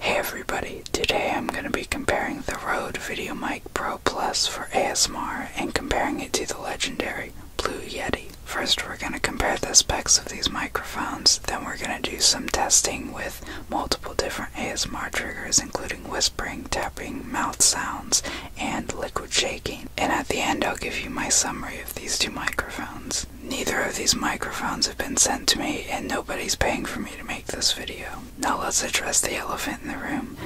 Hey everybody, today I'm going to be comparing the Rode VideoMic Pro Plus for ASMR and comparing it to the legendary Blue Yeti. First we're going to compare the specs of these microphones, then we're going to do some testing with multiple different ASMR triggers including whispering, tapping, mouth sounds, and liquid shaking. And at the end I'll give you my summary of these two microphones. Neither of these microphones have been sent to me, and nobody's paying for me to make this video. Now let's address the elephant in the room.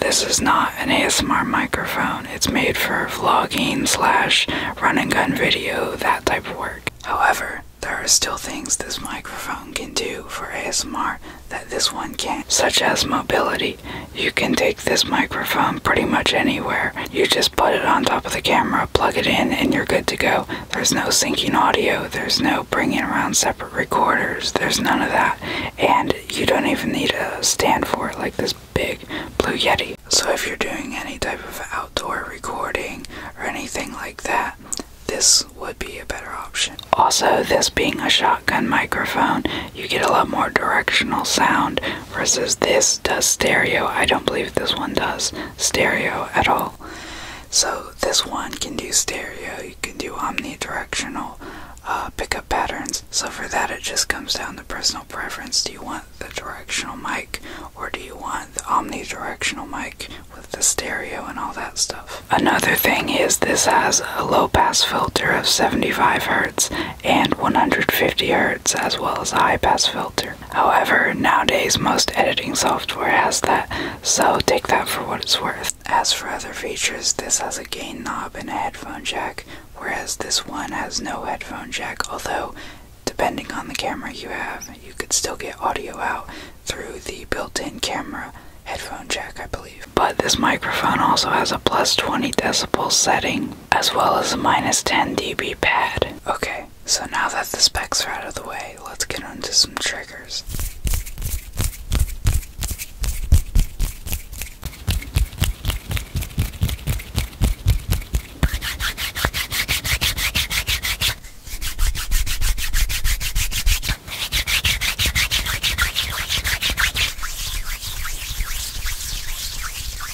This is not an ASMR microphone. It's made for vlogging slash run and gun video, that type of work. However, there are still things this microphone can do for ASMR that this one can't, such as mobility. You can take this microphone pretty much anywhere. You just put it on top of the camera, plug it in, and you're good to go. There's no syncing audio, there's no bringing around separate recorders, there's none of that. And you don't even need to stand for it like this big Blue Yeti. So if you're doing any type of outdoor recording or anything like that, this would be a better option. Also, this being a shotgun microphone, you get a lot more directional sound versus this does stereo. I don't believe this one does stereo at all. So this one can do stereo, you can do omnidirectional uh, pickup patterns. So for that, it just comes down to personal preference. Do you want the directional mic or do you want the omnidirectional mic with the stereo and all that stuff? Another thing is this has a low pass filter of 75 hertz and 150 hertz, as well as a high pass filter However, nowadays most editing software has that, so take that for what it's worth. As for other features, this has a gain knob and a headphone jack, whereas this one has no headphone jack, although depending on the camera you have, you could still get audio out through the built-in camera headphone jack, I believe. But this microphone also has a plus 20 decibel setting, as well as a minus 10 dB pad. Okay, so now that the specs are out of the way, let's get on to some triggers.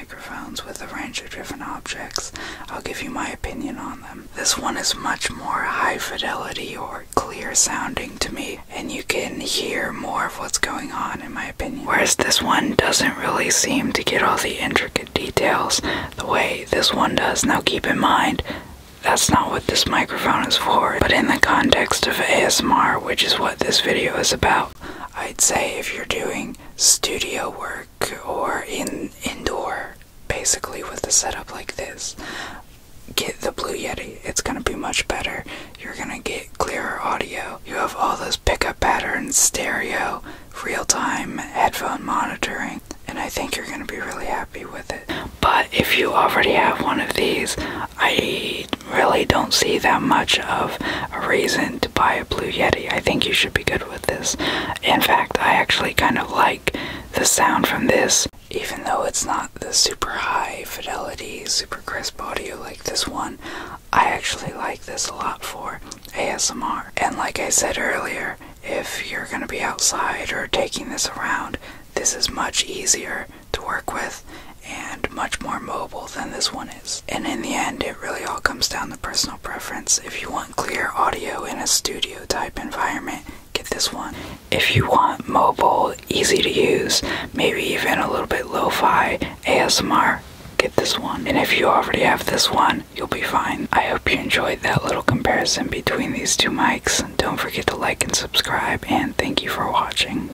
microphones with a range of different objects. I'll give you my opinion on them. This one is much more high fidelity or clear sounding to me, and you can hear more of what's going on, in my opinion. Whereas this one doesn't really seem to get all the intricate details the way this one does. Now, keep in mind, that's not what this microphone is for, but in the context of ASMR, which is what this video is about, I'd say if you're doing studio work or in indoor, basically with a setup like this, get the Blue Yeti. It's gonna be much better. You're gonna get clearer audio. You have all those pickup patterns, stereo, real-time headphone monitoring, and I think you're gonna be really happy with it. But if you already have one of these, I really don't see that much of a reason to buy a Blue Yeti. I think you should be good with this. In fact, I actually kind of like the sound from this, even though it's not the super high fidelity, super crisp audio like this one. I actually like this a lot for ASMR. And like I said earlier, if you're going to be outside or taking this around, this is much easier to work with and much more mobile than this one is. And in the end, it really all comes down to personal preference. If you want clear audio in a studio type environment, get this one. If you want mobile, easy to use, maybe even a little bit lo fi ASMR, get this one. And if you already have this one, you'll be fine. I hope you enjoyed that little comparison between these two mics. Don't forget to like and subscribe, and thank you for watching.